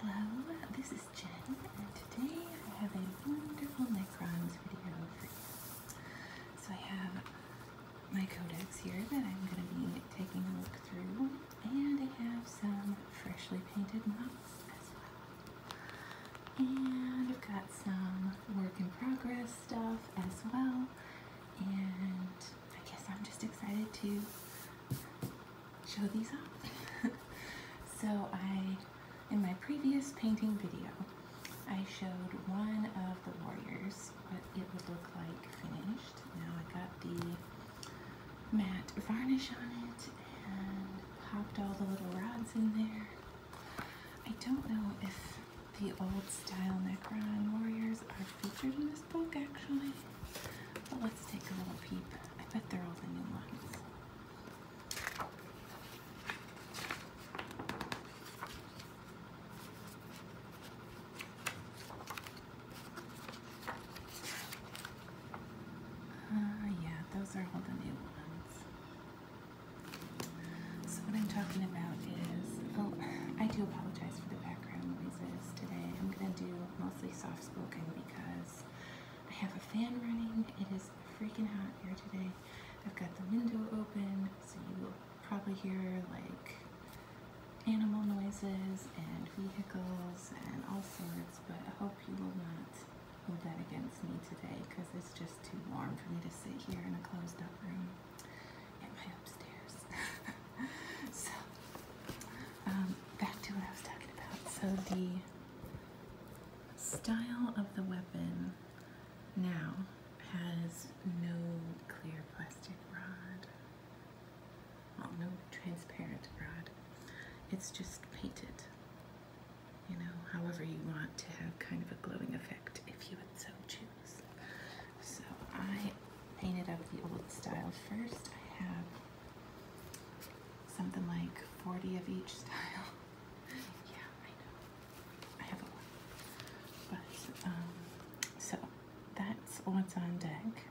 Hello, this is Jen, and today I have a wonderful Necrons video for you. So I have my codex here that I'm going to be taking a look through, and I have some freshly painted mocks as well. And I've got some work in progress stuff as well, and I guess I'm just excited to show these off. so I, in my previous painting video, I showed one of the warriors, what it would look like finished. Now I got the matte varnish on it and popped all the little rods in there. I don't know if the old style Necron warriors are featured in this book actually, but let's take a little peep. I bet they're all the new ones. Uh, yeah, those are all the new ones. So, what I'm talking about is oh, I do apologize for the background noises today. I'm going to do mostly soft spoken because I have a fan running. It is freaking hot here today. I've got the window open, so you will probably hear like animal noises and vehicles and all sorts, but I hope you will not hold that against me today because it's just too warm for me to sit here in a closed up room at my upstairs. so um, back to what I was talking about. So the style of the weapon now has no clear plastic rod. Well, no transparent rod. It's just painted, you know, however you want to have kind of a glowing effect if you would so choose. So I painted up the old style first. I have Something like 40 of each style. yeah, I know. I have a lot. But, um, so that's what's on deck.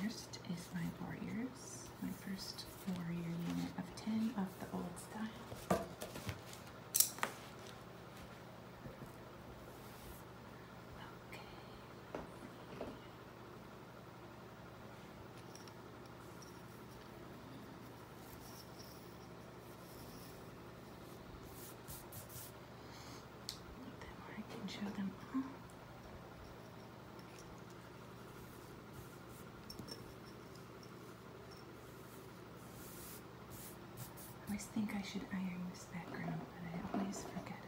First is my Warriors, my first Warrior unit of 10 of the old style. Okay. Then I can show them I always think I should iron this background, but I always forget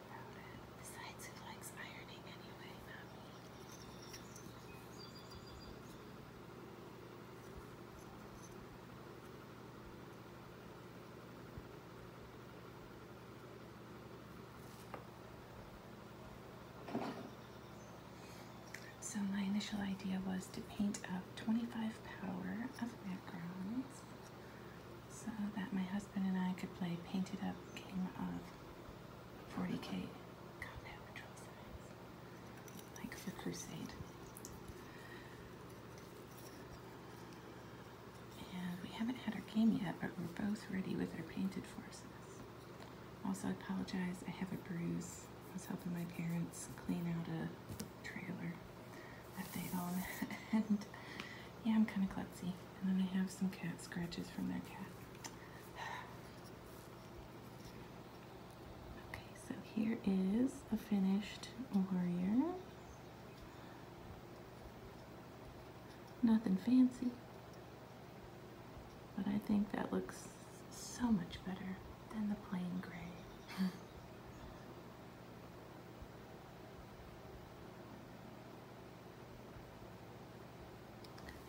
so my initial idea was to paint up 25 power of macarons so that my husband and I could play painted up game of 40k. God, no control signs. Like Crusade. And we haven't had our game yet, but we're both ready with our painted forces. Also, apologize, I have a bruise. I was helping my parents clean out a trailer that they own. and yeah, I'm kind of klutzy. And then I have some cat scratches from their cat. Okay, so here is a finished warrior. Nothing fancy, but I think that looks so much better than the plain gray.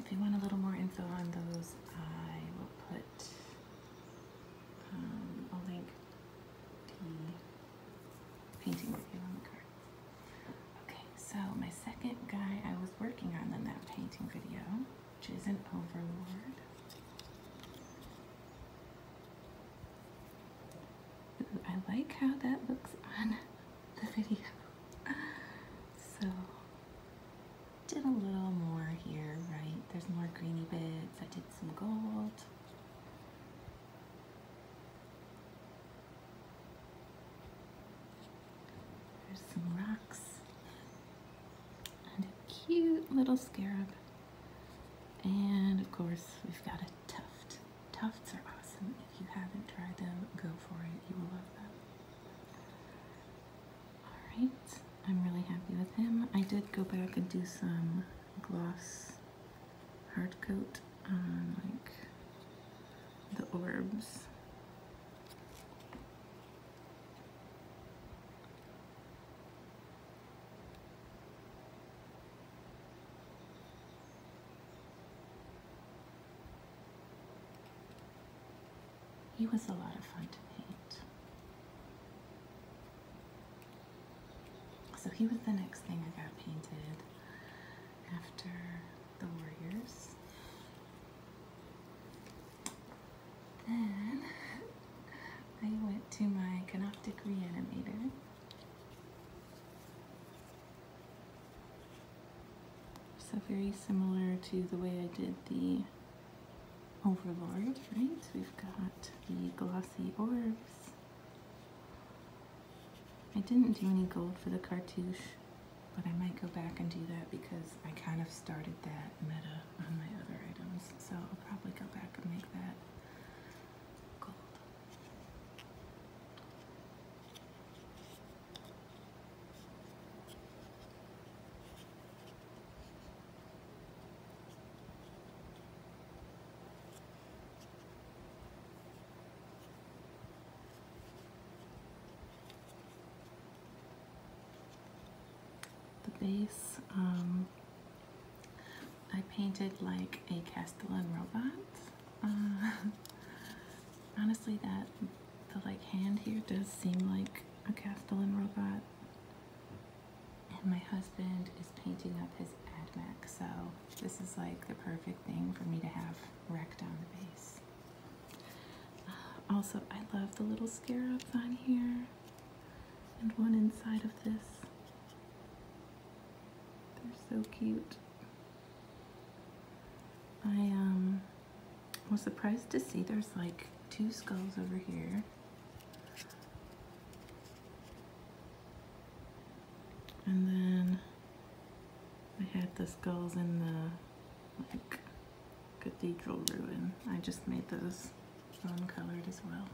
If you want a little more info on those, I will put um, a I'll link the painting video. Okay, so my second guy I was working on in that painting video, which is an overlord. I like how that looks on the video. So did a little more here, right? There's more greeny bits. I did some gold. There's some rocks and a cute little scarab. And of course, we've got a tuft. Tufts are awesome. If you haven't tried them, go for it. You will love them. Alright, I'm really happy with him. I did go back and do some gloss hard coat on like the orbs. He was a lot of fun to paint. So he was the next thing I got painted after the Warriors. Then I went to my Canoptic Reanimator. So very similar to the way I did the Overlord, right? We've got the glossy orbs. I didn't do any gold for the cartouche, but I might go back and do that because I kind of started that meta on my other items. So I'll probably go back and make that gold. The base, um, I painted like a Castellan robot uh, honestly, that the like hand here does seem like a Castellan robot, and my husband is painting up his AdMac, so this is like the perfect thing for me to have wrecked on the base. Uh, also, I love the little scarabs on here, and one inside of this. They're so cute. I um, was surprised to see there's like two skulls over here. And then I had the skulls in the like cathedral ruin. I just made those non-colored as well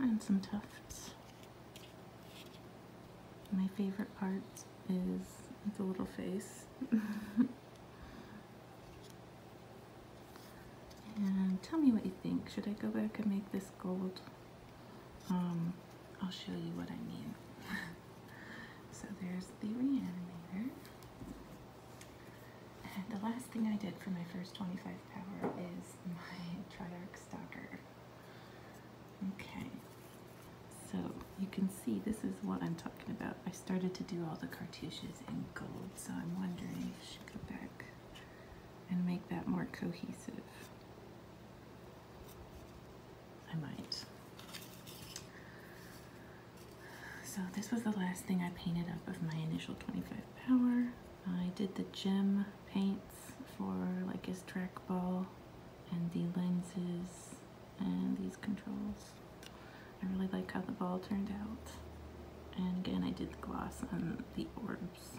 and some tufts. My favorite part is the little face. and tell me what you think. Should I go back and make this gold? Um, I'll show you what I mean. so there's the reanimator. And the last thing I did for my first 25 power is my Triarch Okay, so you can see this is what I'm talking about. I started to do all the cartouches in gold, so I'm wondering if I should go back and make that more cohesive. I might. So this was the last thing I painted up of my initial 25 power. I did the gem paint for like his trackball and the lenses and these controls. I really like how the ball turned out. And again, I did the gloss on the orbs.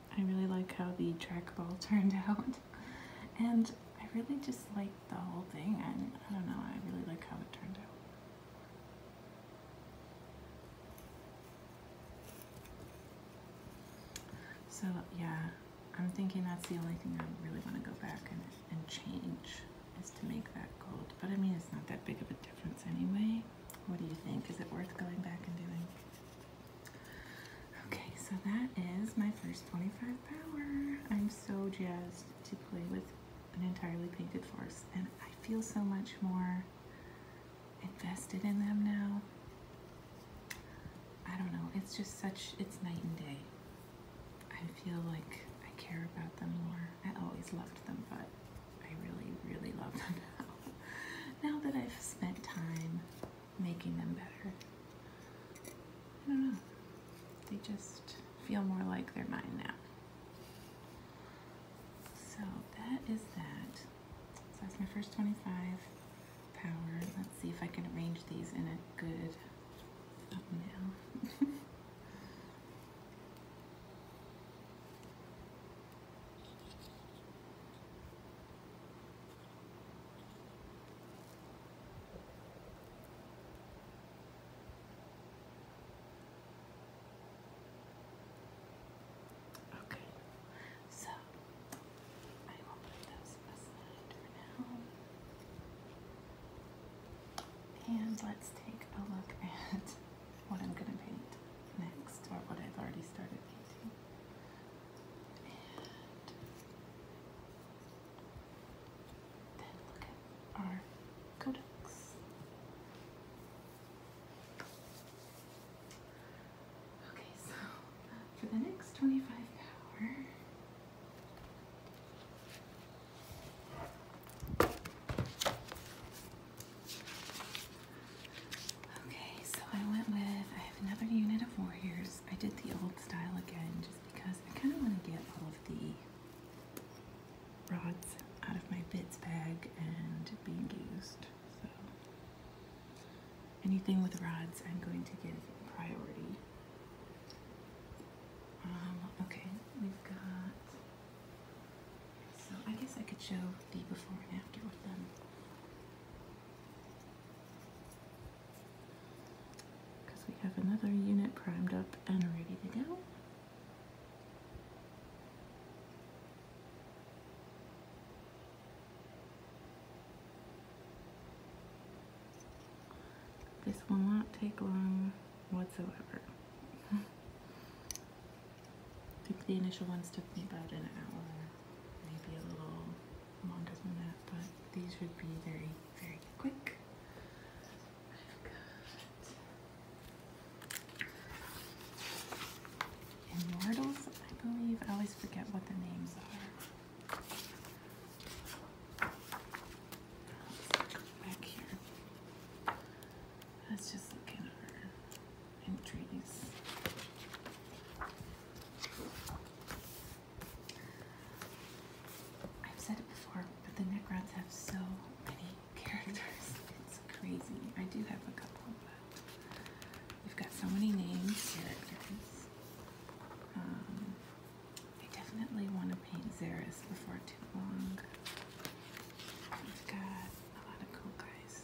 I really like how the trackball turned out. And I really just like the whole thing. I, I don't know, I really like how it turned out. So yeah, I'm thinking that's the only thing I really want to go back and, and change is to make that gold. But I mean, it's not that big of a difference anyway. What do you think? Is it worth going back and doing? Okay, so that is my first 25 power. I'm so jazzed to play with an entirely painted force, and I feel so much more invested in them now. I don't know, it's just such, it's night and day. I feel like I care about them more. I always loved them, but I really, really love them now that I've spent time making them better. I don't know. They just feel more like they're mine now. So that is that. So that's my first 25 power. Let's see if I can arrange these in a good thumbnail. Okay, so I will put those aside for now. And let's take a look at what I'm going to paint next, or what I've already started painting then look at our codex. Okay, so for the next 25 hour. Okay, so I went with, I have another unit of warriors. I did the old style again just because I kind of want to get all of the rods out of my bits bag and being used. So anything with rods I'm going to give priority. Um, okay, we've got, so I guess I could show the before and after with them because we have another unit primed up and ready to go. This one will not take long whatsoever. the initial ones took me about an hour, maybe a little longer than that, but these would be very, very quick. i Immortals, I believe. I always forget what the names are. Let's back here. Let's just look at our entries. I've said it before, but the Necrons have so many characters. It's crazy. I do have a couple, but we've got so many names, Um, I definitely want to paint Xeris before too long. We've got a lot of cool guys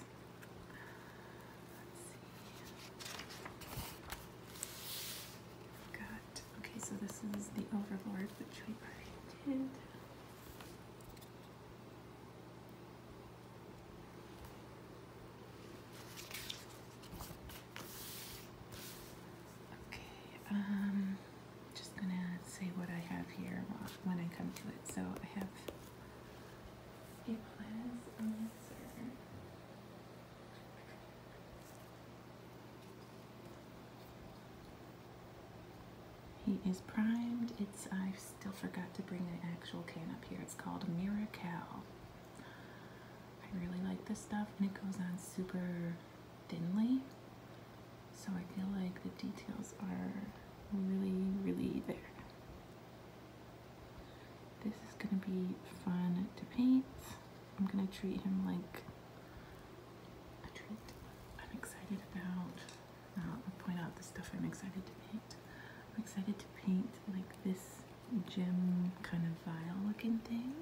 okay, so this is the Overlord, which we already did. Okay, um, just gonna say what I have here when I come to it. So I have a Plaza he is primed. It's I still forgot to bring the actual can up here. It's called Miracal. I really like this stuff and it goes on super thinly. So I feel like the details are really, really there. This is going to be fun to paint. I'm going to treat him like I'm excited about, uh, I'll point out the stuff I'm excited to paint. I'm excited to paint like this gem kind of vile looking thing.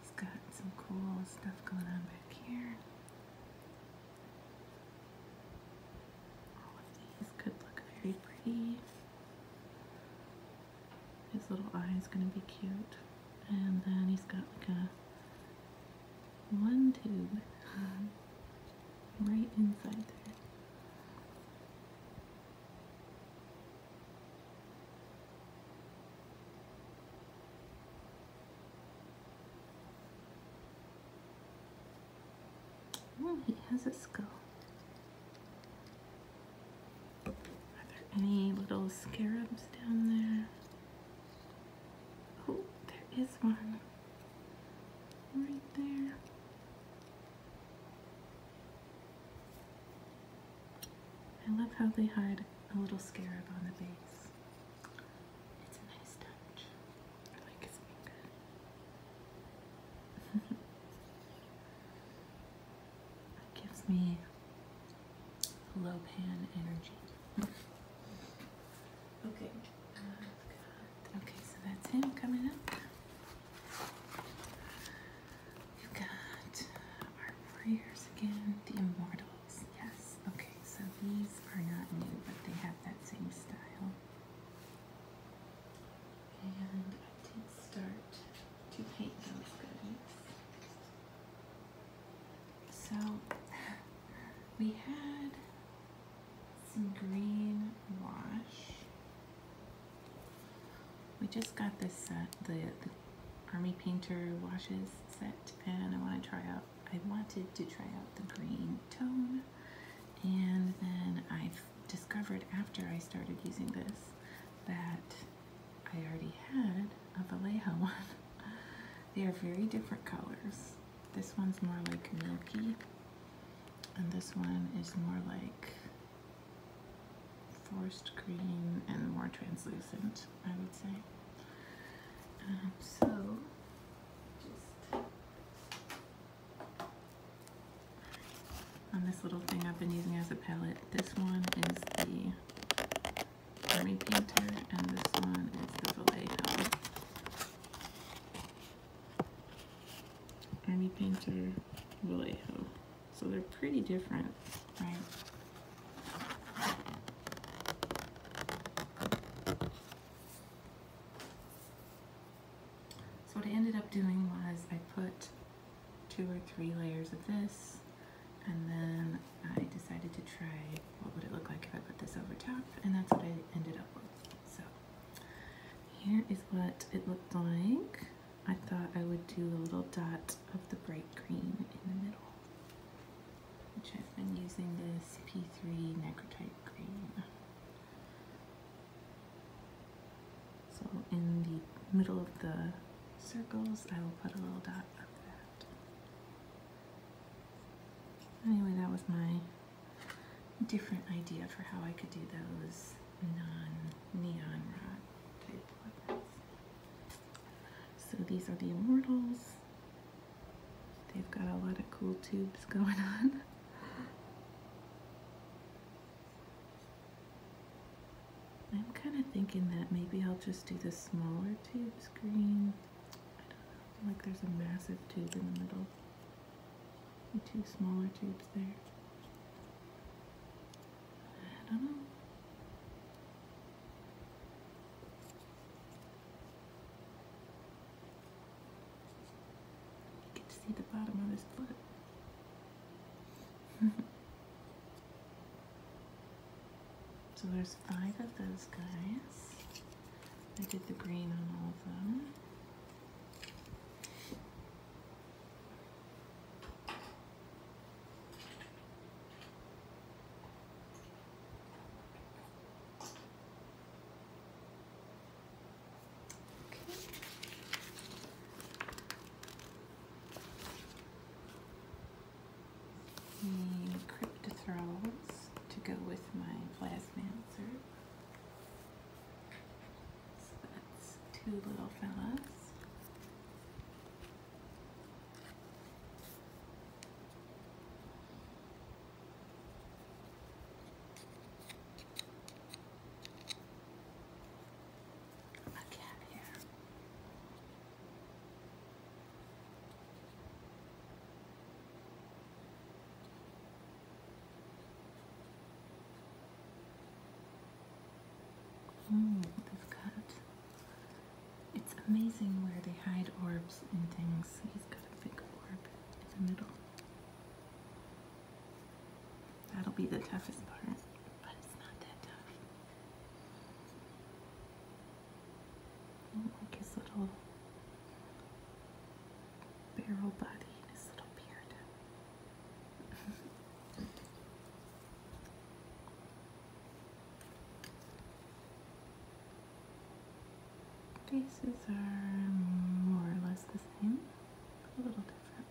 He's got some cool stuff going on back here. All of these could look very pretty. His little eye is going to be cute. And then he's got like a one tube right inside there. Oh, he has a skull. Are there any little scarabs down there? Oh, there is one. Right there. I love how they hide a little scarab on the base. It's a nice touch. I like his finger. It gives me low pan energy. okay. okay, so that's him coming up. We've got our warriors again, the immortals. Yes, okay, so these are not new, but they have that same style. And I did start to paint those goodies. So we had some green wash. We just got this set, the, Army Painter washes set, and I want to try out, I wanted to try out the green tone, and then I discovered after I started using this that I already had a Vallejo one. they are very different colors. This one's more like milky, and this one is more like forest green and more translucent, I would say. Um, so, on this little thing I've been using as a palette. This one is the Army Painter and this one is the Vallejo. Army Painter, Vallejo. So they're pretty different, right? So what I ended up doing was I put two or three layers of this and then I decided to try what would it look like if I put this over top and that's what I ended up with. So here is what it looked like. I thought I would do a little dot of the bright green in the middle, which I've been using this P3 Necrotype green. So in the middle of the circles, I will put a little dot of that. Anyway, that was my different idea for how I could do those non-neon rod type weapons. So these are the Immortals. They've got a lot of cool tubes going on. I'm kind of thinking that maybe I'll just do the smaller tube screen. I don't know, like there's a massive tube in the middle. The two smaller tubes there. I don't know. get to see the bottom of his foot. so there's five of those guys. I did the green on all of them. The crypt to go with my plasmancer. So that's two little fellas my cat here. Oh, this cat. It's amazing where they hide orbs and things. He's got a big orb in the middle. That'll be the toughest part, but it's not that tough. I like his little barrel body and his little beard. Faces are more or less the same, a little different.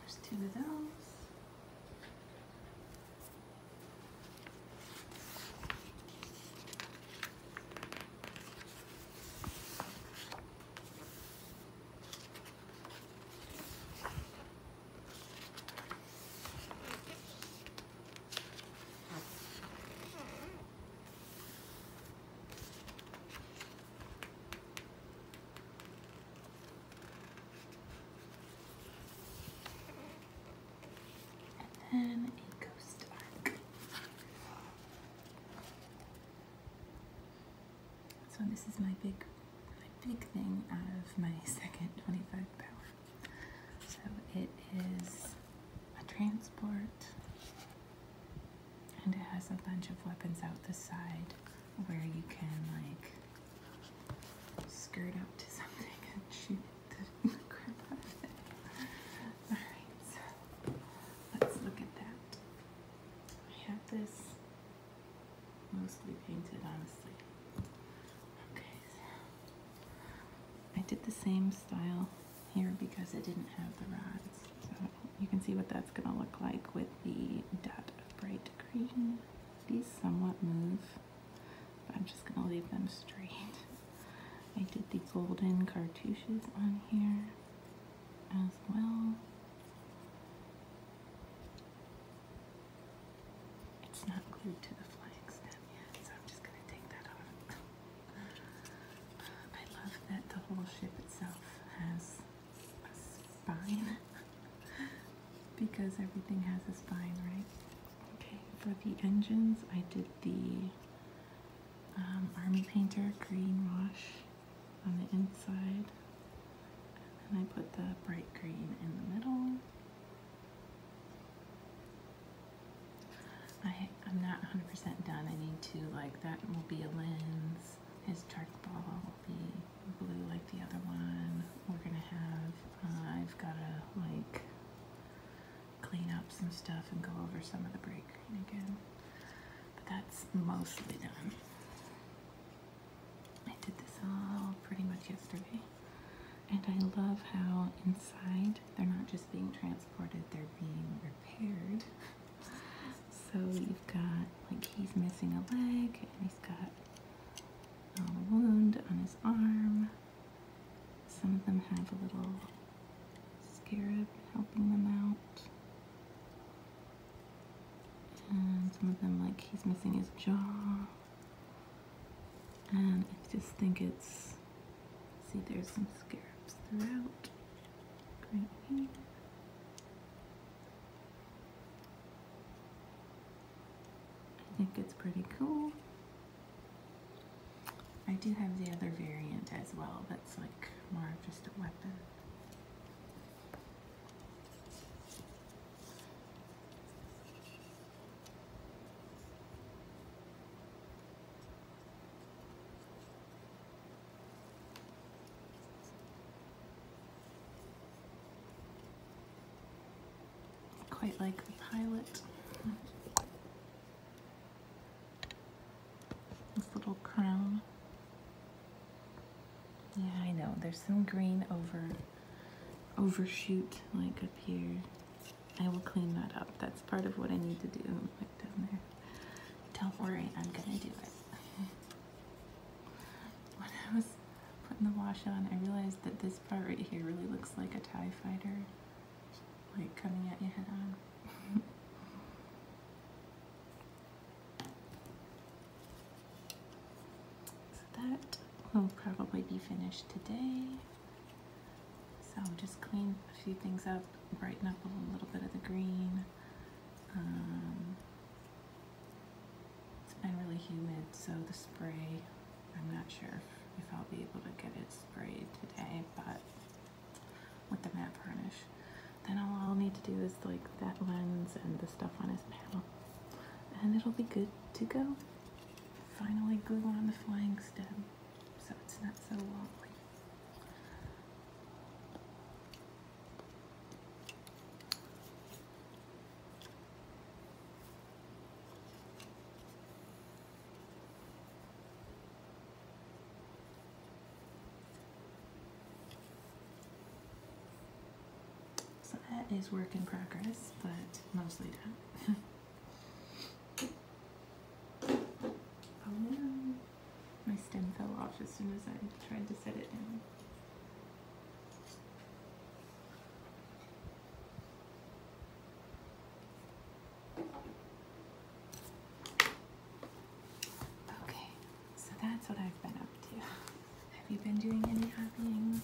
There's two of those. And then a ghost arc. So this is my big, my big thing out of my second 25 power. So it is a transport and it has a bunch of weapons out the side where you can like skirt up to something and shoot the crap out of it. Alright, so let's look at that. I have this mostly painted, honestly. Okay, so I did the same style here because it didn't have the rods. So you can see what that's going to look like with the dot of bright green. These somewhat move, but I'm just going to leave them straight. I did the golden cartouches on here as well. It's not glued to the flag stem yet, so I'm just going to take that off. I love that the whole ship itself has a spine because everything has a spine, right? Okay, for the engines, I did the um, Army Painter green wash on the inside, and I put the bright green in the middle. I, I'm not 100% done. I need to, like, that will be a lens. His ball will be blue like the other one. We're going to have, uh, I've got to, like, clean up some stuff and go over some of the break again. But that's mostly done. I did this all pretty much yesterday. And I love how inside they're not just being transported, they're being repaired. So you've got like he's missing a leg and he's got a wound on his arm. Some of them have a little scarab helping them out. And some of them like he's missing his jaw. And I just think it's see there's some scarabs throughout. I think it's pretty cool. I do have the other variant as well, that's like more of just a weapon. Quite like the pilot. This little crown. Yeah, I know. There's some green over overshoot like up here. I will clean that up. That's part of what I need to do like down there. Don't worry, I'm gonna do it. when I was putting the wash on, I realized that this part right here really looks like a TIE fighter, like coming at you head on. so that will probably be finished today. So I'll just clean a few things up, brighten up a little bit of the green. Um, it's been really humid, so the spray, I'm not sure if, I'll be able to get it sprayed today, but with the matte varnish. Then all I'll need to do is like that lens and the stuff on his paddle. And it'll be good to go. Finally glue on the flying stem so it's not so wobbly. So that is work in progress, but mostly done. My stem fell off as soon as I tried to set it in. Okay, so that's what I've been up to. Have you been doing any hobbying?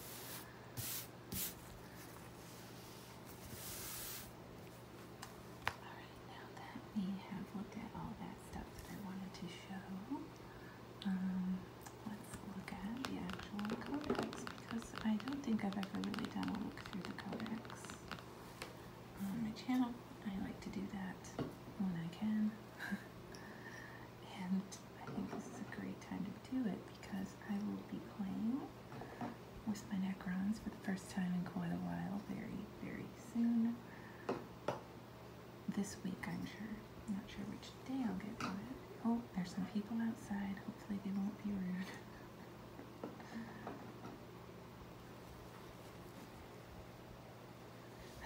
Alright, now that we have looked at all that stuff that I wanted to show, um, let's look at the actual codex because I don't think I've ever really done a look through the codex on my channel. I like to do that when I can. and I think this is a great time to do it because I will be playing with my Necrons for the first time in quite a while very, very soon. This week, I'm sure. not sure which day I'll get to it. Oh, there's some people outside. Hopefully they won't be rude.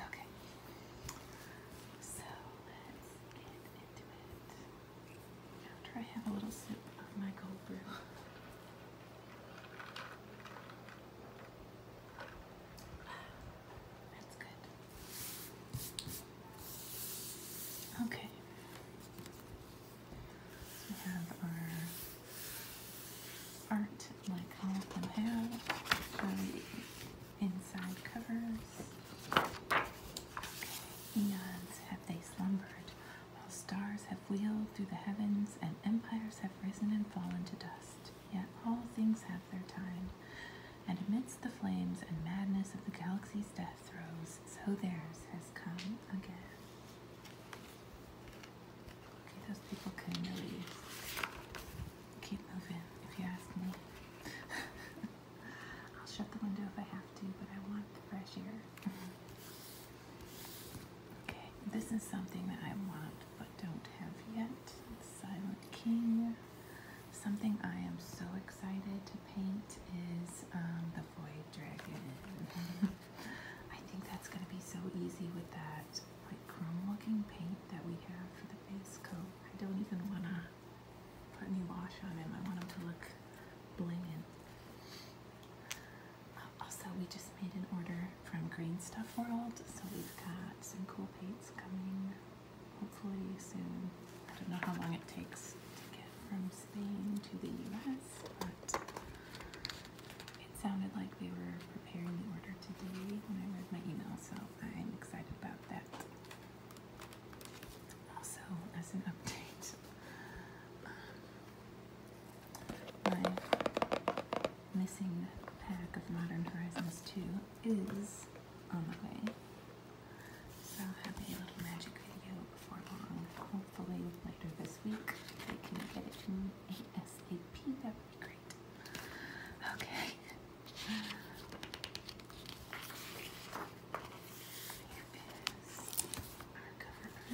Okay. So, let's get into it. After I have a little sip of my cold brew. That's good. Okay. we have our art like all of them have. Showing inside covers. Eons have they slumbered, while stars have wheeled through the heavens and empires have risen and fallen to dust yet all things have their time. And amidst the flames and madness of the galaxy's death throes, so theirs has come again. Okay, those people can really keep moving, if you ask me. I'll shut the window if I have to, but I want the fresh air. Okay, this is something that I want but don't have yet. Silent King. Something I am so excited to paint is um, the Void Dragon. I think that's going to be so easy with that like chrome looking paint that we have for the base coat. I don't even want to put any wash on him. I want him to look blingin'. Also, we just made an order from Green Stuff World, so we've got some cool paints coming hopefully soon. I don't know how long it takes to get from Spain to the US, but it sounded like they were preparing the order today when I read my email, so I'm excited about that. Also, as an update, my missing pack of Modern Horizons 2 is on the way. So i a little magic video before long. Hopefully later this week they can get it to me ASAP. That would be great. Okay. our cover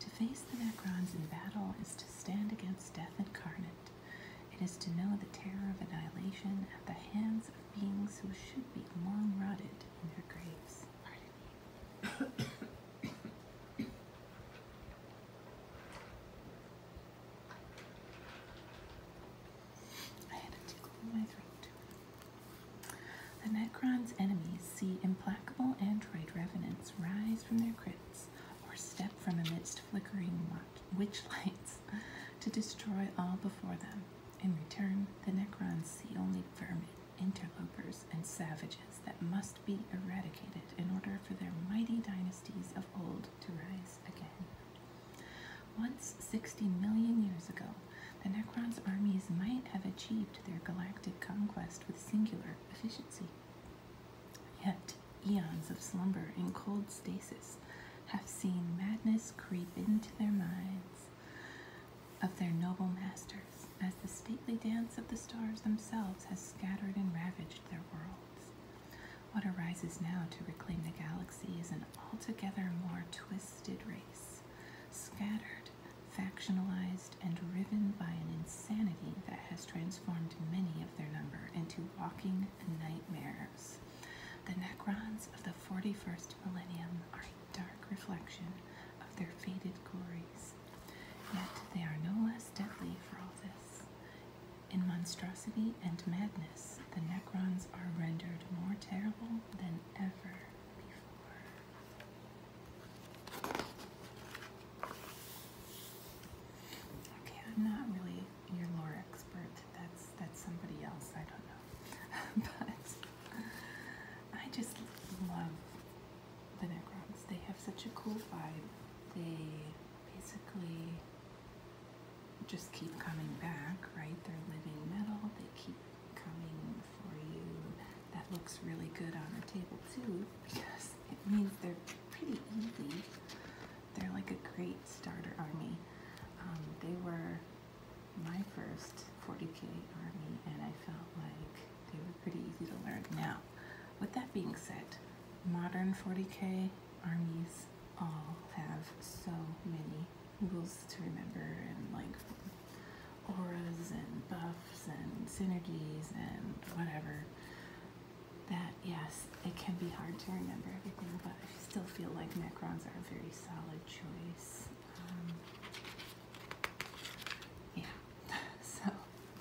to face the Necrons in battle is to stand against death incarnate. It is to know the terror of annihilation at the hands of beings who should be long rotted in their graves. I had a tickle in my throat. The Necron's enemies see implacable android revenants rise from their crypts or step from amidst flickering witch lights to destroy all before them. In return, the Necrons see only vermin, interlopers, and savages that must be eradicated in order for their mighty dynasties of old to rise again. Once 60 million years ago, the Necrons' armies might have achieved their galactic conquest with singular efficiency. Yet, eons of slumber in cold stasis have seen madness creep into their minds of their noble masters, as the stately dance of the stars themselves has scattered and ravaged their worlds. What arises now to reclaim the galaxy is an altogether more twisted race, scattered factionalized, and riven by an insanity that has transformed many of their number into walking nightmares. The Necrons of the 41st millennium are a dark reflection of their faded glories. Yet they are no less deadly for all this. In monstrosity and madness, the Necrons are rendered more terrible than ever before. Okay, I'm not really your lore expert. That's that's somebody else. I don't know, but I just love the Necrons. They have such a cool vibe. They basically just keep coming back, right? They're living metal. They keep coming for you. That looks really good on the table too, because it means they're pretty easy. They're like a great starter army. Um, they were my first 40k army, and I felt like they were pretty easy to learn. Now, with that being said, modern 40k armies all have so many rules to remember and like auras and buffs and synergies and whatever, that yes, it can be hard to remember everything, but I still feel like Necrons are a very solid choice. Um, yeah, so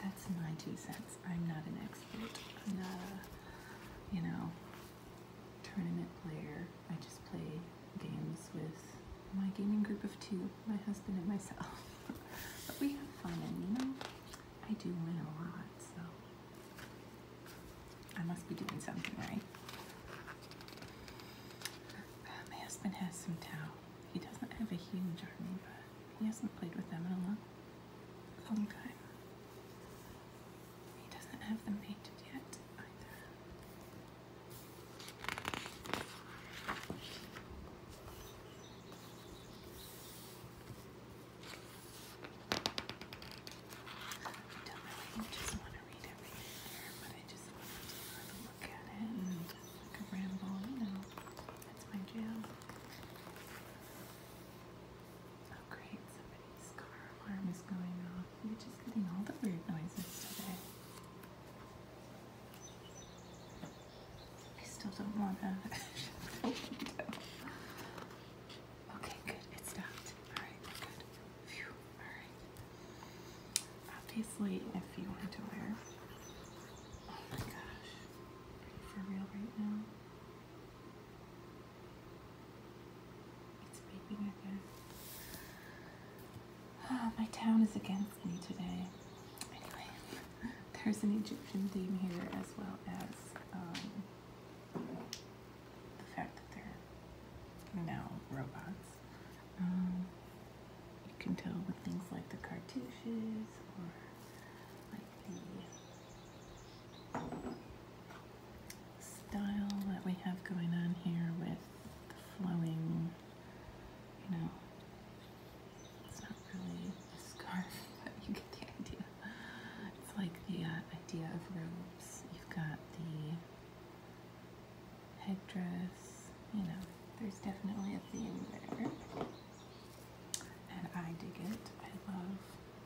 that's my two cents. I'm not an expert. I'm not a, you know, tournament player. I just play games with my gaming group of two, my husband and myself but we have fun, and you know, I do win a lot, so I must be doing something right. Uh, my husband has some tau. He doesn't have a huge army, but he hasn't played with them in a long, long time. He doesn't have them painted yet either don't really just want to read everything but I just want to look at it and ramble, you know. That's my jam. Oh great, somebody's car alarm is going off. You're just getting all the weird noises today. I still don't want to Okay, good. It stopped. All right, we're good. Phew. All right. Obviously, if you want to wear. Oh my gosh. Are you for real right now? It's beeping again. Oh, my town is against me today. Anyway, there's an Egyptian theme here as well as um, the fact that they're now robots. Um, you can tell with things like the cartouches or like the style that we have going on here with the flowing, you know, it's not really a scarf, but you get the idea. It's like the uh, idea of robes. You've got the headdress, you know, there's definitely a theme there. And I dig it. I love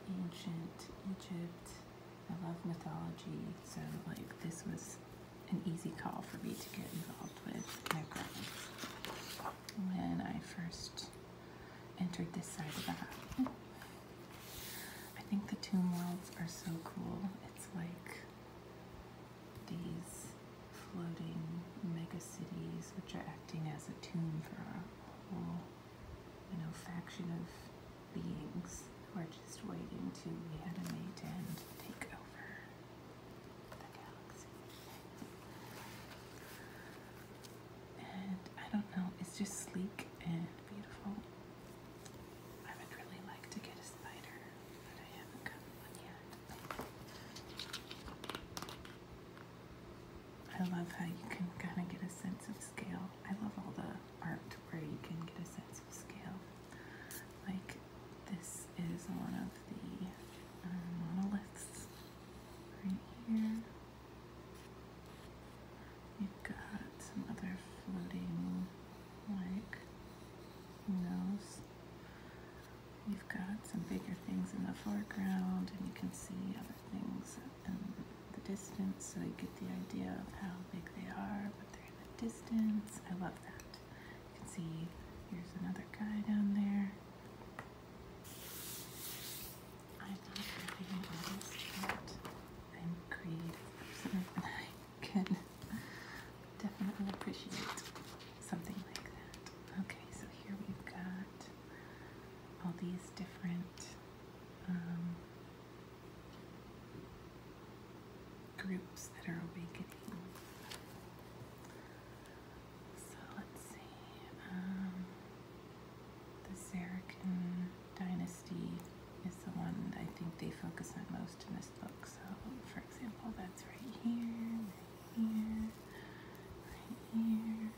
ancient Egypt. I love mythology. So, like, this was an easy call for me to get involved with my friends when I first entered this side of the house. I think the tomb worlds are so cool. It's like these floating mega cities which are acting as a tomb for a whole, you know, faction of beings who are just waiting to be mate and take over. And I don't know, it's just sleek and beautiful. I would really like to get a spider, but I haven't gotten one yet. I love how you can kind of get a sense of scale. I love all the art where you can get a sense of scale. Like this is one of the uh, monoliths right here. You've got some other floating, like, who knows? You've got some bigger things in the foreground, and you can see other things in the distance, so you get the idea of how big they are, but they're in the distance. I love that. You can see here's another guy down there. I'm not really an artist, but I'm creative and I can definitely appreciate something like that. Okay, so here we've got all these different um, groups that are awakening. So let's see. Um, the Zarakan dynasty is the one I think they focus on most in this book. So, for example, that's right here, right here, right here.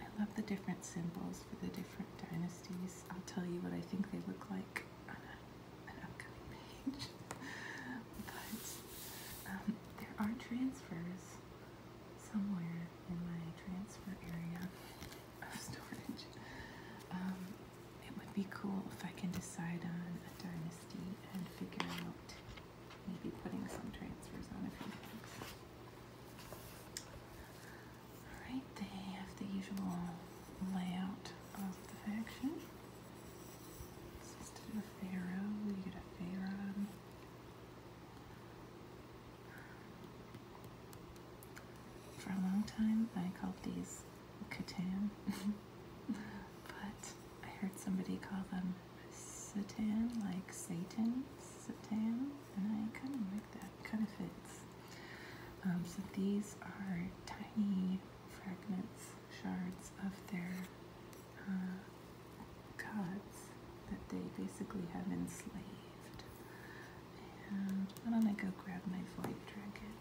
I love the different symbols for the different dynasties. I'll tell you what I think they look like on an upcoming page. but um, there are transfers somewhere in my transfer area of storage. Um, it would be cool if I can decide on a dynasty and figure out maybe putting some transfers on a few things. Alright, they have the usual layout of the faction. This is to the Pharaoh. You get a Pharaoh. For a long time, I called these Catan, but I heard somebody call them Satan, like Satan, Satan, and I kind of like that, kind of fits. Um, so these are tiny fragments, shards of their uh, that they basically have enslaved. And why don't I go grab my void dragon?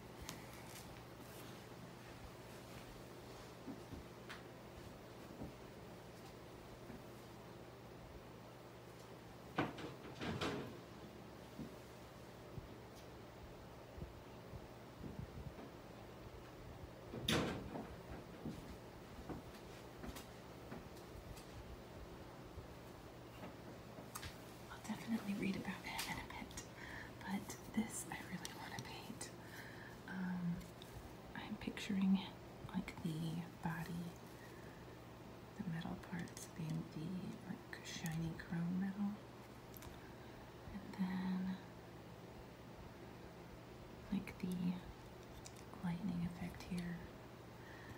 I'll definitely read about it in a bit, but this I really want to paint. Um, I'm picturing like the body, the metal parts being the like shiny chrome metal, and then like the lightning effect here.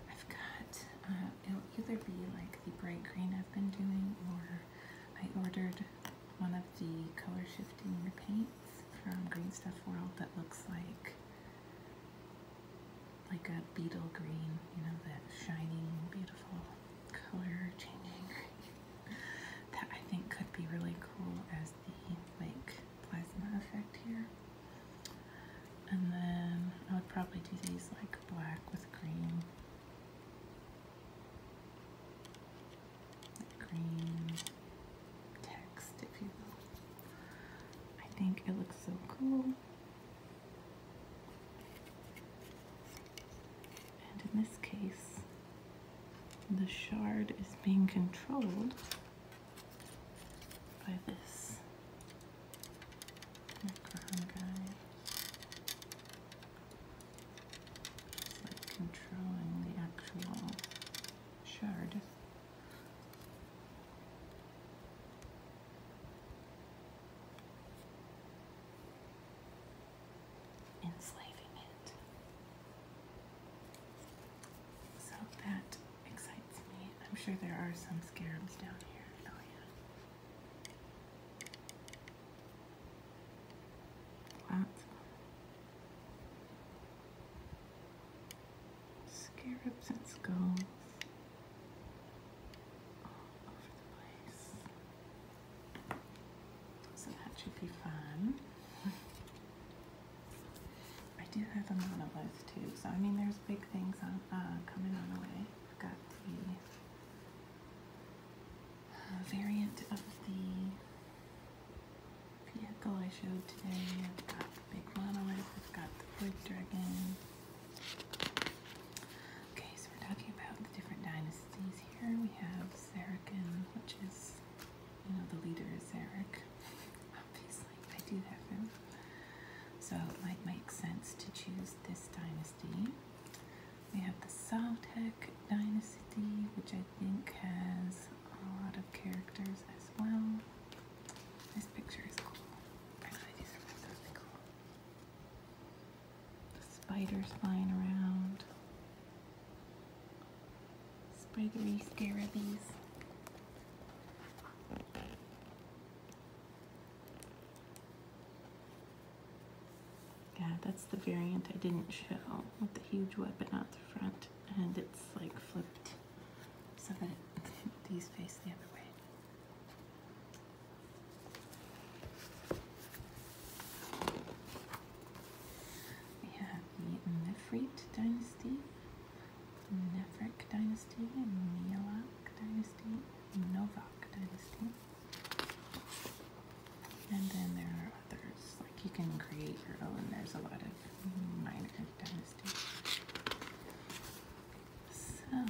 I've got, uh, it'll either be like the bright green I've been doing or I ordered one of the color shifting paints from Green Stuff World that looks like like a beetle green, you know, that shining, beautiful color changing that I think could be really cool as the like plasma effect here. And then I would probably do these like black with green. green text, if you will. I think it looks so cool. And in this case, the shard is being controlled by this guy. like controlling the actual shard. Enslaving it. So that excites me. I'm sure there are some scarabs down here. Oh, scarabs and skulls all over the place. So that should be fun. I do have a monolith too, so I mean there's big things on, uh, coming on the way. I've got the uh, variant of the vehicle I showed today. I've got the big monolith, I've got the wood dragon. Okay, so we're talking about the different dynasties here. We have Sarakin, which is you know, the leader is Eric. Obviously, I do have him. So it might make sense to choose this dynasty. We have the Saltec dynasty, which I think has a lot of characters as well. This picture is cool. I just thought that was cool. The spiders flying around. Spriggery scarabees. Yeah, that's the variant I didn't show with the huge weapon at the front and it's like flipped so that these face the other way. We have the Nefrit dynasty, Nefric dynasty, Mealak dynasty, Novak dynasty. And then there are others. Like you can create your own. There's a lot of minor dynasties. So Oh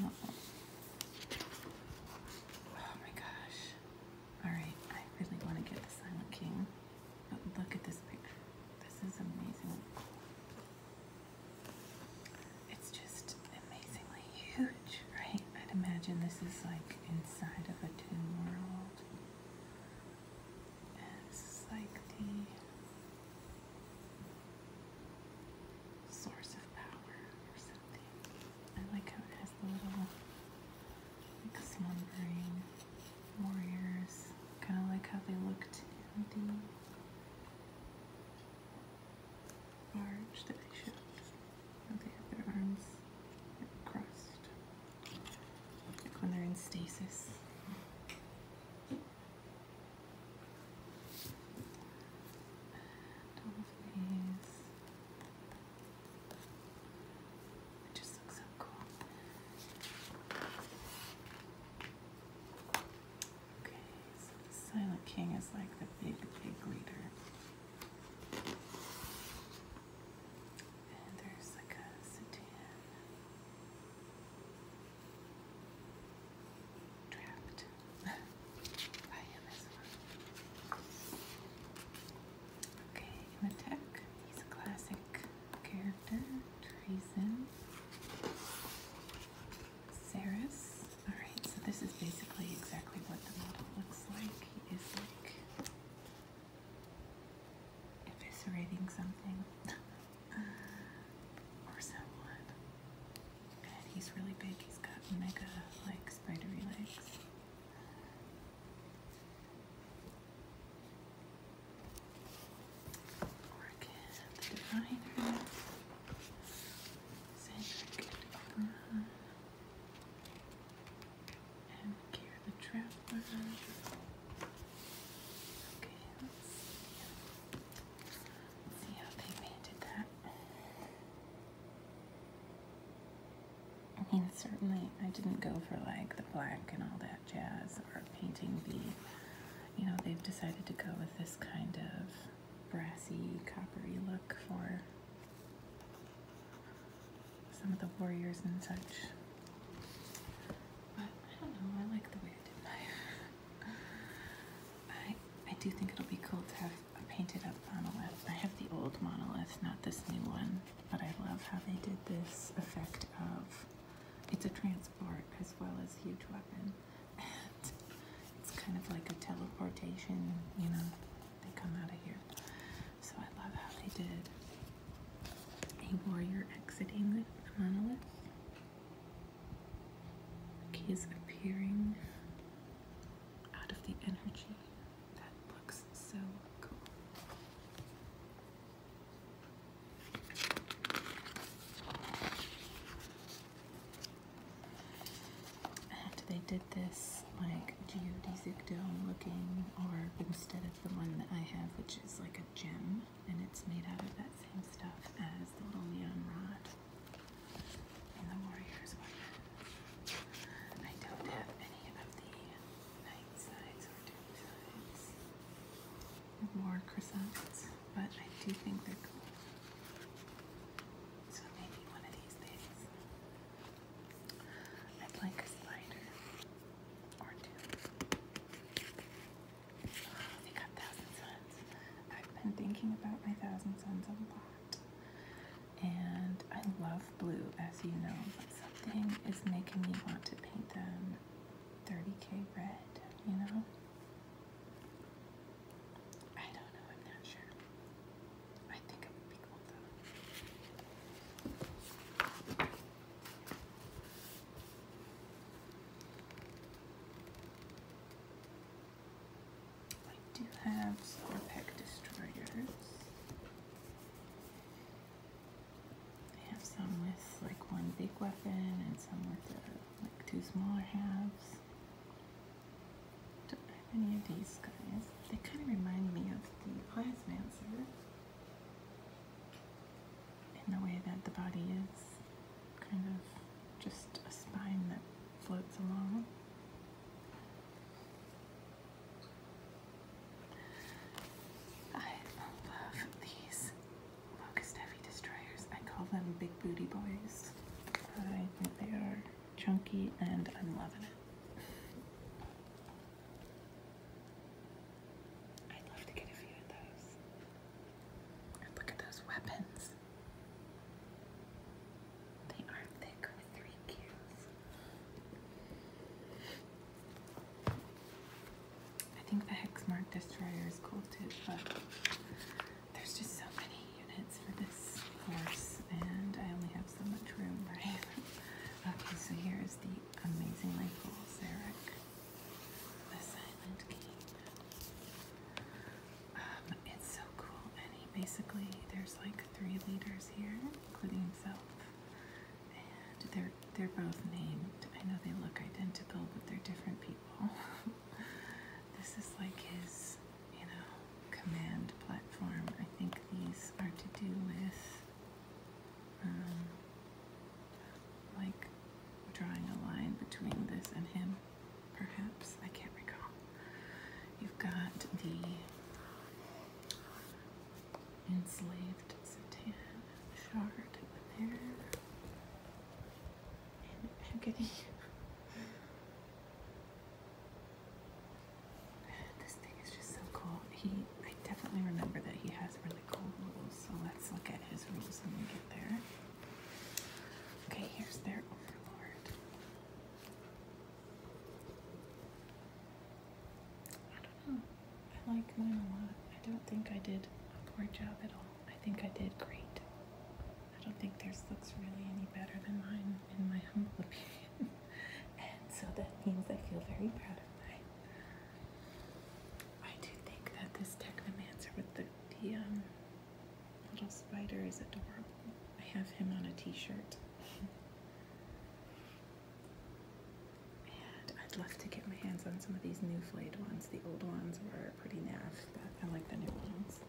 my gosh. Alright, I really want to get the Silent King. But look at this picture. This is amazing. It's just amazingly huge, right? I'd imagine this is like inside of a tomb world. And like the source of power or something. I like how it has the little like slumbering warriors, kind of like how they looked in the that they showed. They their arms crossed, like when they're in stasis. And all of these it just looks so cool. Okay, so the Silent King is like the big, big leader. And there's like a sedan trapped by him Okay, in he's a classic character. Treason. Ceres. Alright, so this is basically exactly what the model looks like. He is like eviscerating something or someone. And he's really big. He's got mega, like, spidery legs. Orchid, liner, sacred opera, and gear the traveler. Okay, Let's see how they painted that. I mean, certainly I didn't go for like the black and all that jazz are painting the, you know, they've decided to go with this kind of brassy, coppery look for some of the warriors and such. But I don't know, I like the way I did my I I do think it'll be cool to have a painted up monolith. I have the old monolith, not this new one, but I love how they did this effect of it's a transport as well as huge weapon. And it's kind of like a teleportation, you know, they come out of here. So I love how they did a warrior exiting the monolith. Like he is appearing out of the energy. That looks so cool. And they did this like geodesic dome looking or instead of the one that I have which is like a gem and it's made out of that same stuff as the little neon rod in the warrior's I don't have any of the more croissants, but I do think they're cool. So maybe one of these days. I'd like a slider or two. they got Thousand Suns. I've been thinking about my Thousand Suns a lot. And I love blue, as you know, but something is making me want to paint them 30k red, you know? I don't know, I'm not sure. I think it would be cool I do have Scorpec Destroyers. They have some with like one big weapon and some with like two smaller halves. Don't have any of these guys. They kind of remind me of the Plasmancer in the way that the body is kind of just a spine that floats along. I love these Locust Heavy Destroyers. I call them Big Booty Boys. I think they are chunky and I'm loving it. I'd love to get a few of those. look at those weapons. They are thick with three cubes. I think the Hexmark Destroyer is cool too, but there's just so many units for this force, and I only have so much room, right? okay, so here is the amazingly cool Zarek, the Silent King. Um, it's so cool, and he basically, there's like three leaders here, including himself and they're they're both named. I know they look identical, but they're different people. this is like his, you know, command platform. I think these are to do with um, like drawing a line between this and him, perhaps. I can't recall. You've got the enslaved Satan shard over there. And agony. This thing is just so cool. He, I definitely remember that he has really cool rules. So let's look at his rules when we get there. Okay, here's their overlord. I don't know. I like mine a lot. I don't think I did a poor job at all. I think I did great. I don't think theirs looks really any better than mine, in my humble opinion. and so that means I feel very proud of mine. I do think that this Technomancer with the, the um, little spider is adorable. I have him on a t-shirt. I'd love to get my hands on some of these new flayed ones. The old ones were pretty naff, but I like the new ones.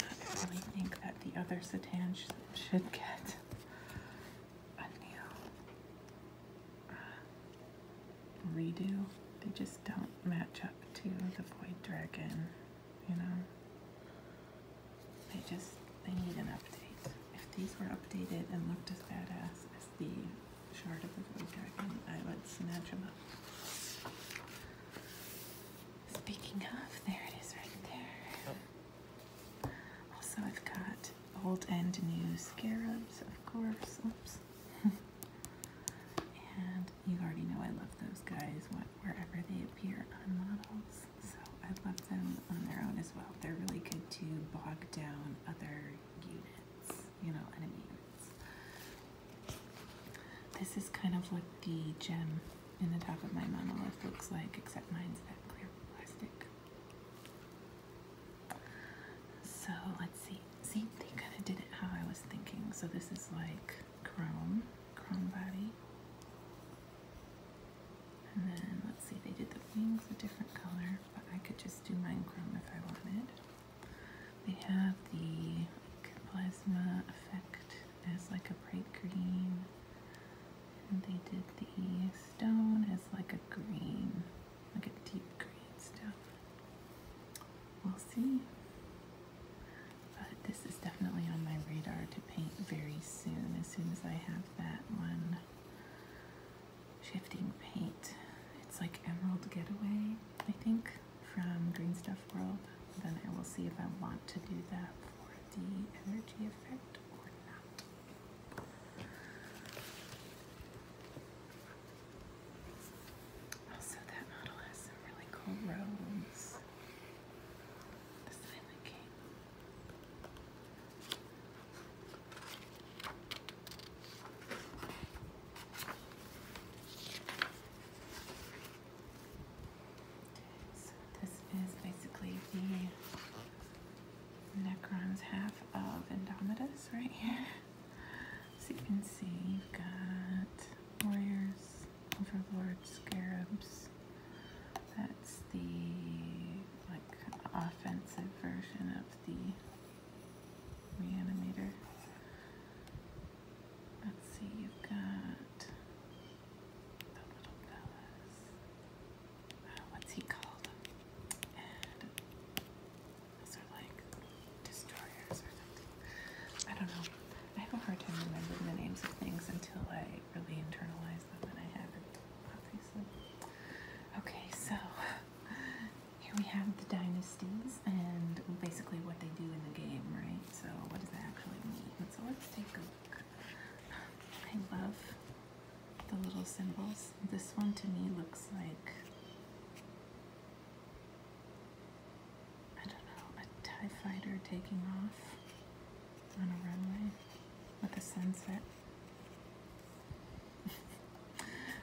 I really think that the other Satan should get a new uh, redo. They just don't match up to the Void Dragon, you know? They just, they need an update. If these were updated and looked as badass as the shard of the void dragon. I would snatch him up. Speaking of, there it is right there. Also, I've got old and new scarabs, of course. and you already know I love those guys wherever they appear on models. So I love them on their own as well. They're really good to bog down other units. You know what This is kind of what the gem in the top of my monolith looks like, except mine's that clear plastic. So let's see. See, they kind of did it how I was thinking. So this is like chrome, chrome body. And then let's see, they did the wings a different color, but I could just do mine chrome if I wanted. They have the plasma effect as like a bright green. And they did the stone as like a green, like a deep green stone. We'll see. But this is definitely on my radar to paint very soon, as soon as I have that one shifting paint. It's like Emerald Getaway, I think, from Green Stuff World. Then I will see if I want to do that for the energy effect or not. Also, that model has some really cool robes. The Silent King. So this is basically the Necron's half of Endomitus, right here. So you can see you've got warriors, overlords, scarabs. That's the like offensive version of the reanimator. Let's see, you've got the little fellas. Uh, what's he called? those are like destroyers or something. I don't know. I have a hard time remembering the names of things until I really internalize them, and I haven't, obviously. Okay, so Here we have the dynasties and basically what they do in the game, right? So what does that actually mean? So let's take a look. I love the little symbols. This one to me looks like I don't know, a TIE fighter taking off on a runway with a sunset.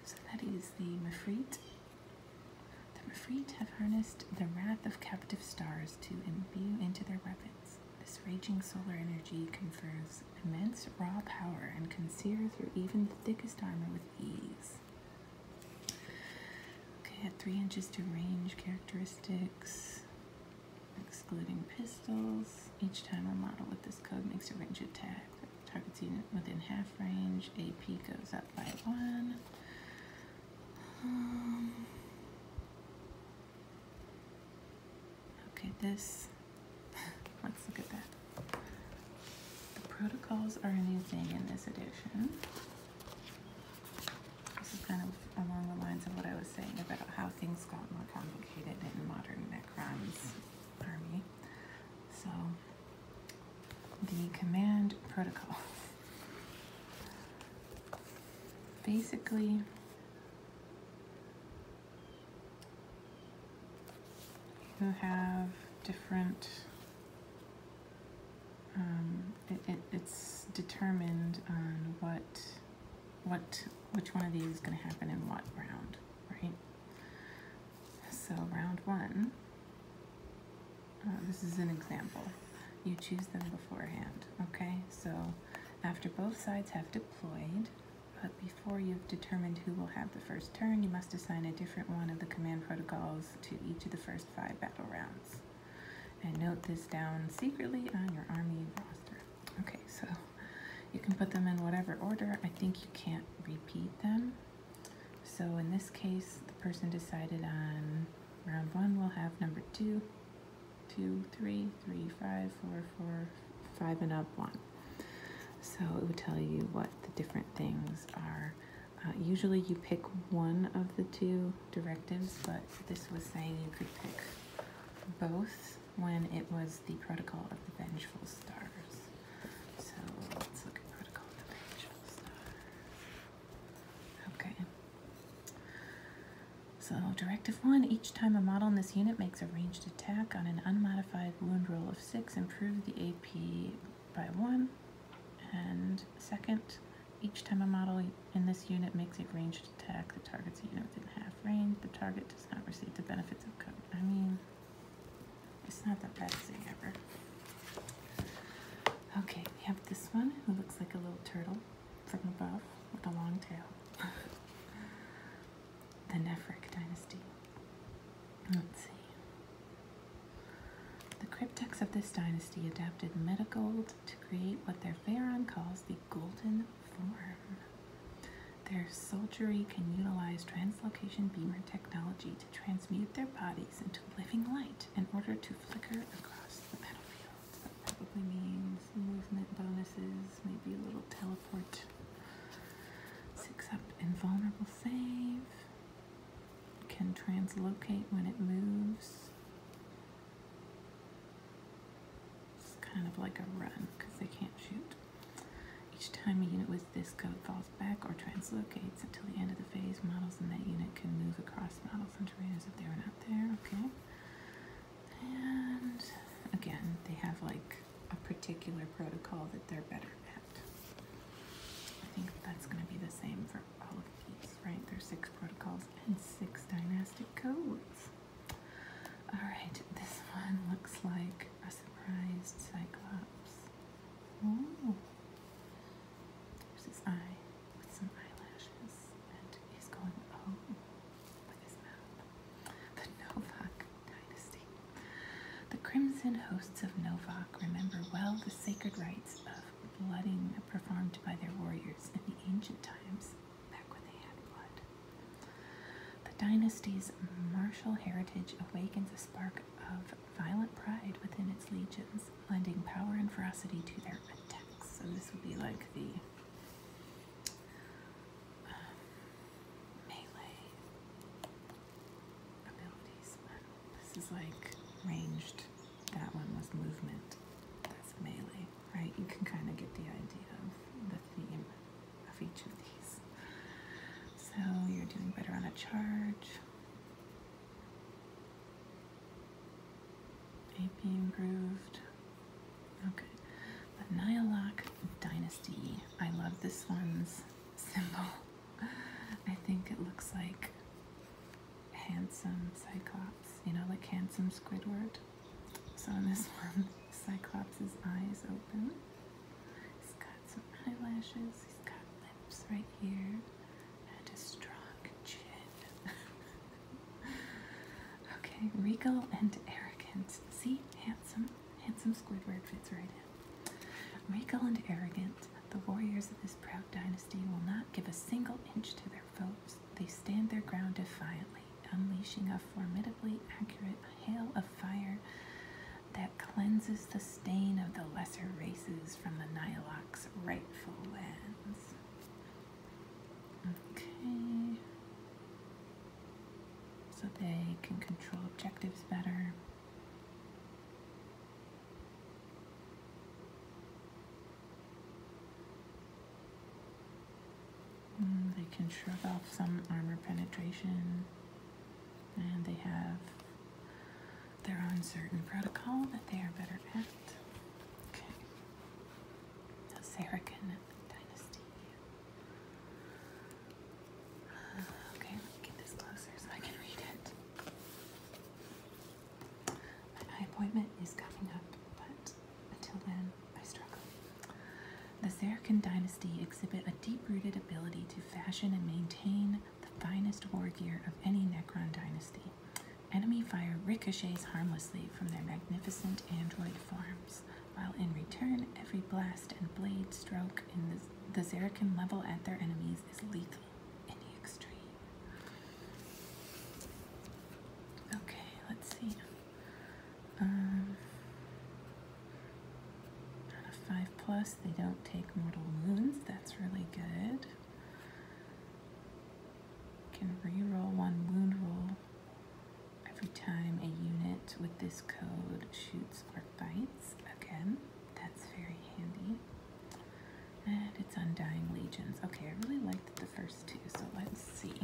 so that is the Mefreet. The Mefreet have harnessed the wrath of captive stars to imbue into their weapons. This raging solar energy confers immense raw power and can sear through even the thickest armor with ease. Okay, at 3 inches to range characteristics, excluding pistols. Each time a model with this code makes a range attack, Targeting within half range, AP goes up by one. Um, okay, this, let's look at that. The protocols are a in this edition. This is kind of along the lines of what I was saying about how things got more complicated in modern Necron's army. So, the command protocol. Basically, you have different, um, it, it, it's determined on what, what, which one of these is going to happen in what round right? So round one, uh, this is an example. You choose them beforehand, okay? So after both sides have deployed, but before you've determined who will have the first turn, you must assign a different one of the command protocols to each of the first five battle rounds. And note this down secretly on your army roster. Okay, so you can put them in whatever order. I think you can't repeat them. So in this case, the person decided on round one will have number two, two, three, three, five, four, four, five, and up one. So it would tell you what the different things are. Uh, usually you pick one of the two directives, but this was saying you could pick both when it was the Protocol of the Vengeful Stars. So let's look at Protocol of the Vengeful Stars. Okay. So Directive 1, each time a model in this unit makes a ranged attack on an unmodified wound roll of 6, improve the AP by 1. And second, each time a model in this unit makes a ranged attack the targets a unit within half range, the target does not receive the benefits of code. I mean, it's not the best thing ever. Okay, we have this one who looks like a little turtle from above with a long tail. the Nephric dynasty. Let's see. The cryptics of this dynasty adapted gold to create what their pharaoh calls the golden form. Their soldiery can utilize translocation beamer technology to transmute their bodies into living light in order to flicker across the battlefields. That probably means movement bonuses, maybe a little teleport. Six up invulnerable save. Can translocate when it moves. It's kind of like a run because they can't shoot. Each time a unit with this code falls back or translocates until the end of the phase, models in that unit can move across models and terrains if they are not there. Okay. And again, they have like a particular protocol that they're better at. I think that's going to be the same for all of these, right? There's six protocols and six dynastic codes. All right, this one looks like surprised Cyclops. Oh, his eye with some eyelashes, and he's going oh with his mouth. The Novak dynasty. The crimson hosts of Novak remember well the sacred rites of blooding performed by their warriors in the ancient times, back when they had blood. The dynasty's martial heritage awakens a spark of violent pride within its legions, lending power and ferocity to their attacks. So this would be like the um, melee abilities. This is like ranged. That one was movement. That's melee, right? You can kind of get the idea of the theme of each of these. So you're doing better on a charge. AP improved. Okay. The Nihilock Dynasty. I love this one's symbol. I think it looks like handsome Cyclops, you know, like handsome Squidward. So in this one, Cyclops' eyes open. He's got some eyelashes, he's got lips right here, and a strong chin. okay, regal and arrogant. See, handsome, handsome Squidward fits right in. Regal and arrogant, the warriors of this proud dynasty will not give a single inch to their foes. They stand their ground defiantly, unleashing a formidably accurate hail of fire that cleanses the stain of the lesser races from the Nilok's rightful lands. Okay. So they can control objectives better. Mm, they can shrug off some armor penetration and they have their own certain protocol that they are better at. Okay, the dynasty. Uh, okay, let me get this closer so I can read it. My appointment is coming up, but until then, I struggle. The Saracen dynasty exhibit a deep-rooted ability to fashion and maintain the finest war gear of any Necron dynasty. Enemy fire ricochets harmlessly from their magnificent android forms, while in return, every blast and blade stroke in the, the level at their enemies is lethal in the extreme. Okay, let's see. Um, 5 plus, they don't take mortal wounds. That's really good. Can reroll one wound roll every time a unit with this code shoots or fights Again, that's very handy. And it's Undying Legions. Okay, I really liked the first two, so let's see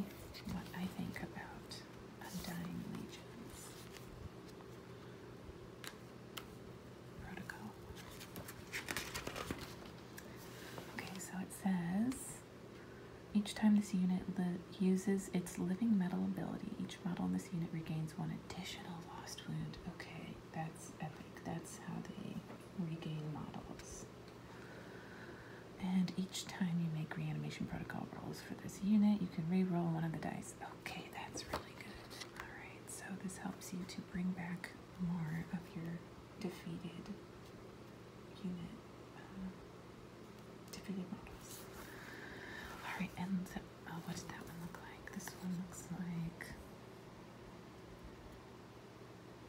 what I think about Undying Legions. Okay, so it says each time this unit uses its living metal ability, each model in this unit regains one additional lost wound. Okay, that's epic. That's how they regain models. And each time you make reanimation protocol rolls for this unit, you can re-roll one of the dice okay. That's really good. All right, so this helps you to bring back more of your defeated unit, uh, defeated All right, and uh, what did that one look like? This one looks like.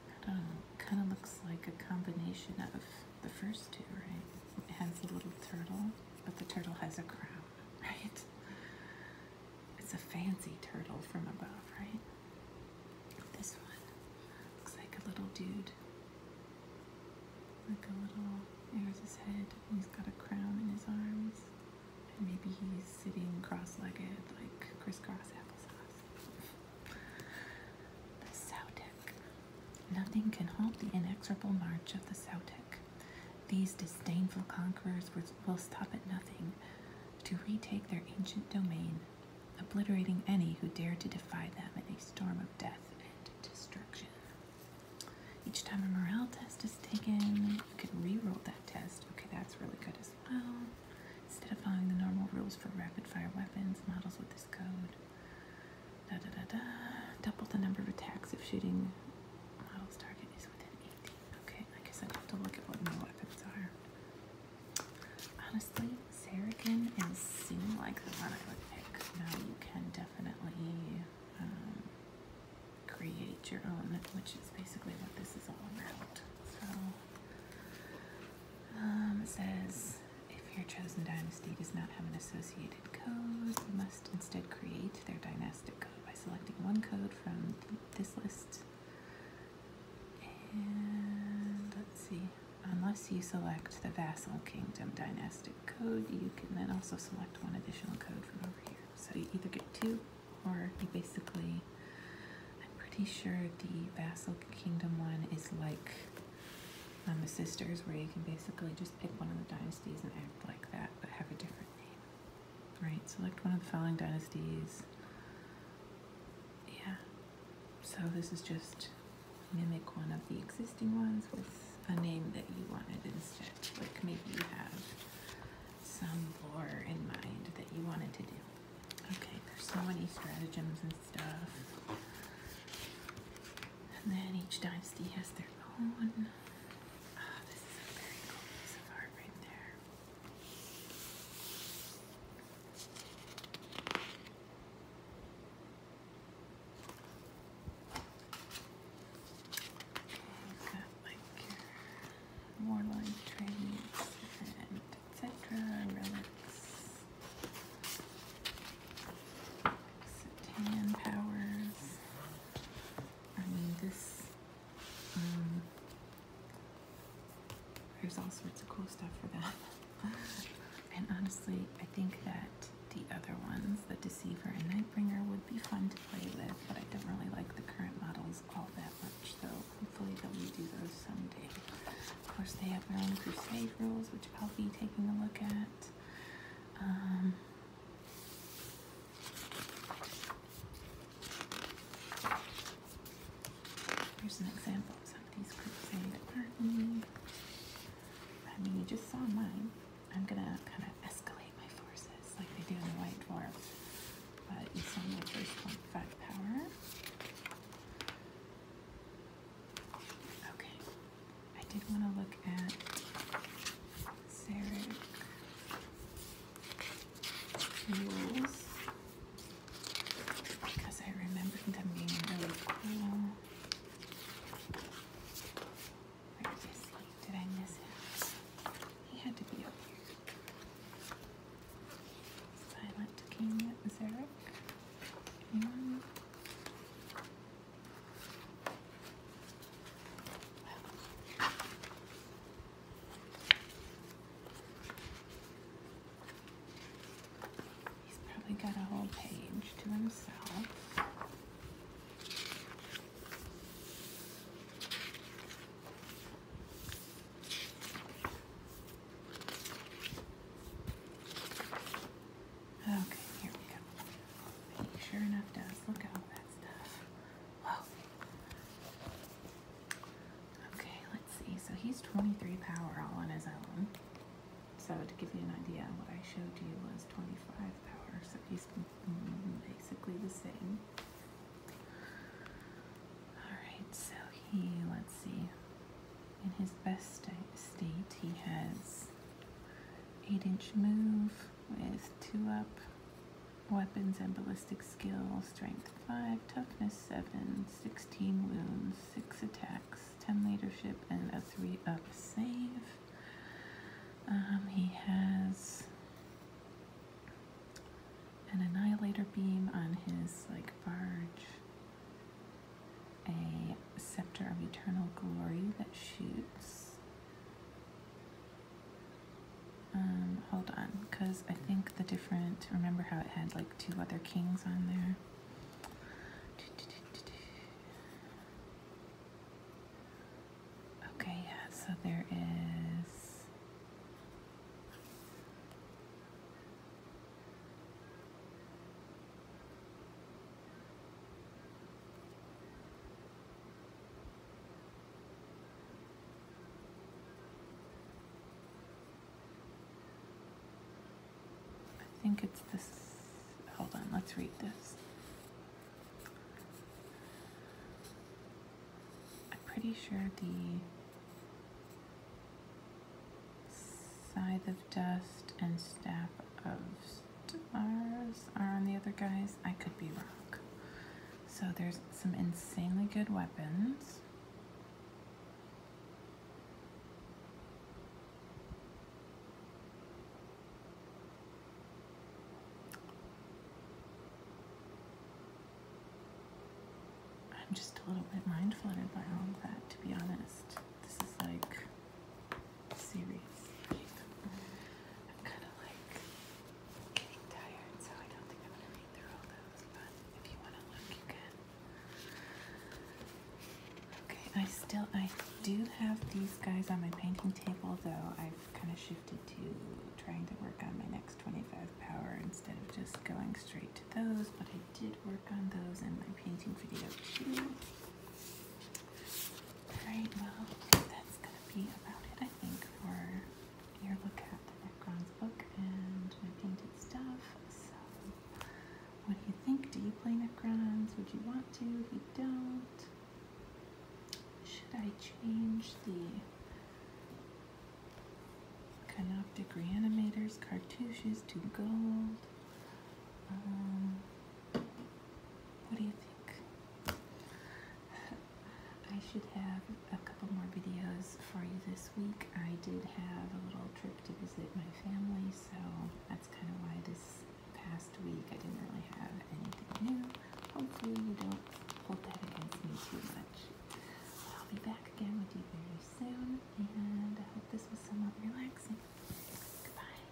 I don't know, kind of looks like a combination of the first two, right? It has a little turtle, but the turtle has a crown right? It's a fancy turtle from above, right? This one looks like a little dude. Like a little, there's his head. He's got a crown in his arms. And maybe he's sitting cross-legged like crisscross applesauce. The Sautek. Nothing can halt the inexorable march of the Sautek. These disdainful conquerors will stop at nothing to retake their ancient domain, obliterating any who dare to defy them in a storm of death and destruction. Each time a morale test is taken, you can re-roll that test. Okay, that's really good as well. Instead of following the normal rules for rapid-fire weapons, models with this code Double the number of attacks if shooting model's target is within 80. Okay, I guess I'd have to look at what my weapons are. Honestly, Sarrican and seem like the one I would pick. Now you can definitely um, create your own, which is basically what this is all about. So, um, it says if your chosen dynasty does not have an associated code, you must instead create their dynastic code by selecting one code from this list. see, unless you select the vassal kingdom dynastic code, you can then also select one additional code from over here. So you either get two, or you basically, I'm pretty sure the vassal kingdom one is like um, the sisters, where you can basically just pick one of the dynasties and act like that that have a different name. Right, select one of the following dynasties. Yeah, so this is just mimic one of the existing ones with a name that you wanted instead. Like maybe you have some lore in mind that you wanted to do. Okay, there's so many stratagems and stuff. And then each dynasty has their own. Oh, this is a very cool piece of art right there. you got like your warlike etc. relics, Satan powers. I mean, this, um, there's all sorts of cool stuff for that. and honestly, I think that the other ones, the Deceiver and Nightbringer, would be fun to play with, but I don't really like the current models all that much, so hopefully they'll redo those someday. Of course, they have their own Crusade rules, which I'll be taking a look at. Um, Here's an example of somebody's crusade army. I mean, you just saw mine. I'm gonna kind of escalate my forces like they do in the White Dwarfs. But you saw my first power. Okay, I did want to look at Sarah rules because I remembered them being really cool. Did I miss him? He had to be up here. Silent King Zarek. Anyone? He's probably got a whole page to himself. Okay, here we go. sure enough does look out Okay, let's see. So he's 23 power all on his own. So to give you an idea, what I showed you was 25 power. So he's basically the same. Alright, so he, let's see. In his best state, he has 8 inch move with two up, weapons and ballistic skill, strength five, toughness seven, 16 wounds, six attacks, 10 leadership, and a three up save. Um, he has an annihilator beam on his like barge, a scepter of eternal glory that shoots um, hold on, because I think the different, remember how it had like two other kings on there? Okay, yeah, so there is. I think it's this. Hold on, let's read this. I'm pretty sure the scythe of dust and staff of stars are on the other guys. I could be wrong. So there's some insanely good weapons. I'm just a little bit mind flooded by all of that, to be honest. This is like series. I'm kind of like getting tired, so I don't think I'm going to read through all those, if you want to look, you can. Okay, I still, I do have these guys on my painting table, though I've kind of shifted to trying to work on my next 25 power instead of just going straight to those, but I did work on those in my painting video too. Alright, well, that's going to be about it, I think, for your look at the backgrounds book and my painted stuff. So, what do you think? Do you play Necrons? Would you want to? If you don't, should I change the Canoptic Reanimators cartouches to gold? Um, what do you think? I should have a couple more videos for you this week. I did have a little trip to visit my family, so that's kind of why this past week I didn't really have anything new. Hopefully you don't hold that against me too much. I'll be back again with you very soon, and I hope this was somewhat relaxing. Goodbye.